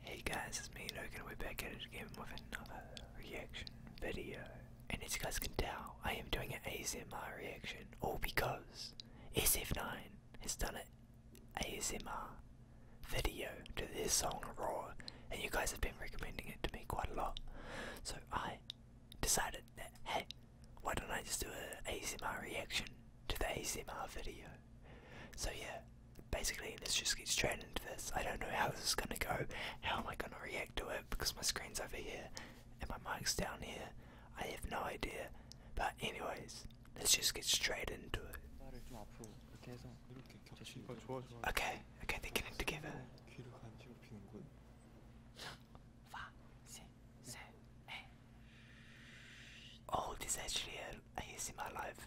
Hey guys, it's me Logan, and we're back at it again with another reaction video. And as you guys can tell, I am doing an ASMR reaction, all because SF9 has done an ASMR video to this song Raw, and you guys have been recommending it to me quite a lot. So I decided that, hey, why don't I just do an ASMR reaction to the ASMR video? So yeah, basically this just gets straight into this. I don't know how this is gonna go. How am I gonna react to it? Because my screen's over here and my mic's down here. I have no idea. But anyways, let's just get straight into it. Okay, okay, they're getting together. Oh, this actually a ASMR live.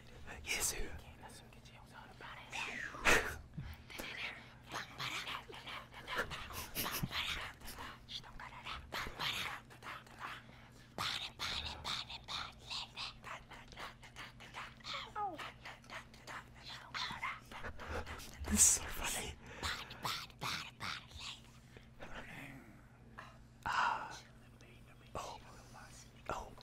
예수. This is so funny. Ah. Oh. Oh.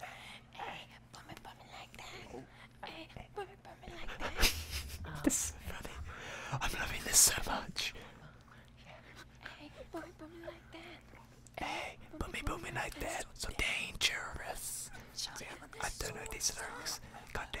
Hey, bump it, bump it like that. Hey, bump it, bump it like that. this is funny. I'm loving this so much. Hey, bump it, bump it like that. So dangerous. I don't know these lyrics. Goddamn.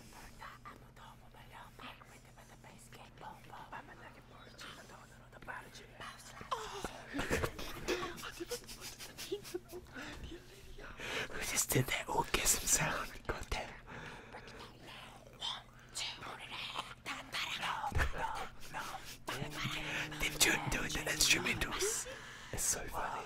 Ανωτόμο παλαιόμα. Έρχεται με τα πέσκε. Πόμπο. Πάμε να και πόλη. Να το όνομα το πάρω και πάψα. Who just did that orgasm sound? God damn. Did you do the instrumentals? It's so funny.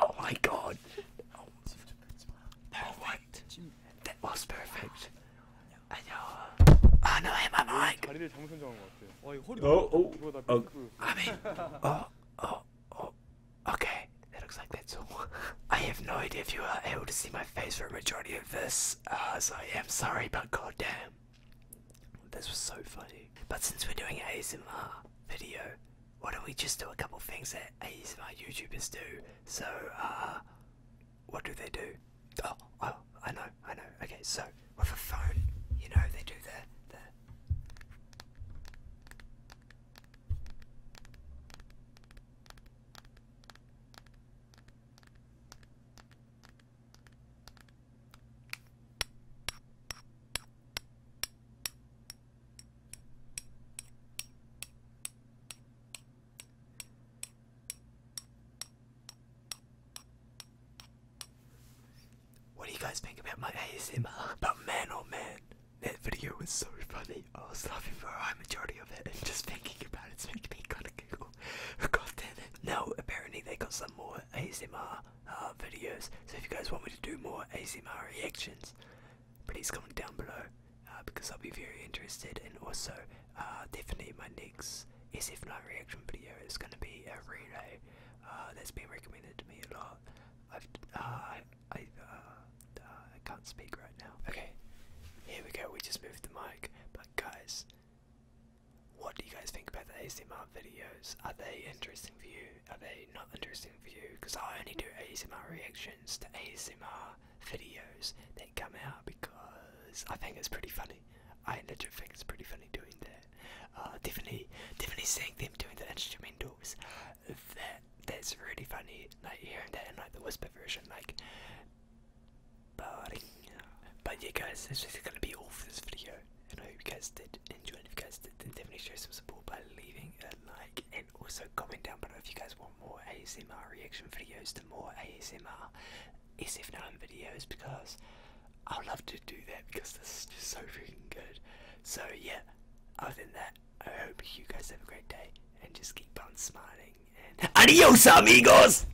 Oh my god. Oh, perfect. That was perfect. 안녕. I know I'm like. 다리를 잘못 Oh, oh, oh. Okay, that looks like that's all. I have no idea if you are able to see my face for a majority of this, uh, so I am sorry, but goddamn. This was so funny. But since we're doing an ASMR video, why don't we just do a couple things that ASMR YouTubers do? So, uh, what do they do? Oh, oh, I know, I know. Okay, so with a phone, you know, they do the the. What do you guys think about my ASMR? But man, oh man, that video was so funny. I was laughing for a high majority of it, and just thinking about it, it's making me kind of giggle. God damn it! apparently they got some more ASMR uh, videos. So if you guys want me to do more ASMR reactions, please comment down below uh, because I'll be very interested. And also, uh, definitely my next SF Night reaction video is going to be a relay that's been recommended to me a lot. I've, I, I can't speak right now. Okay, here we go. We just moved the mic, but guys, what do you guys think about the ASMR videos? Are they interesting for you? Are they not interesting for you? Because I only do ASMR reactions to ASMR videos that come out because I think it's pretty funny. I legit think it's pretty funny doing that. Uh, definitely, definitely seeing them doing the instrumentals. That that's really funny. Like hearing that in like the whisper version, like. But yeah, guys, this is gonna be all for this video and I hope you guys did enjoy. And if you guys did, then definitely show some support by leaving a like and also comment down below if you guys want more ASMR reaction videos to more ASMR SF9 videos because I'd love to do that because this is just so freaking good. So, yeah, other than that, I hope you guys have a great day and just keep on smiling. adios, amigos!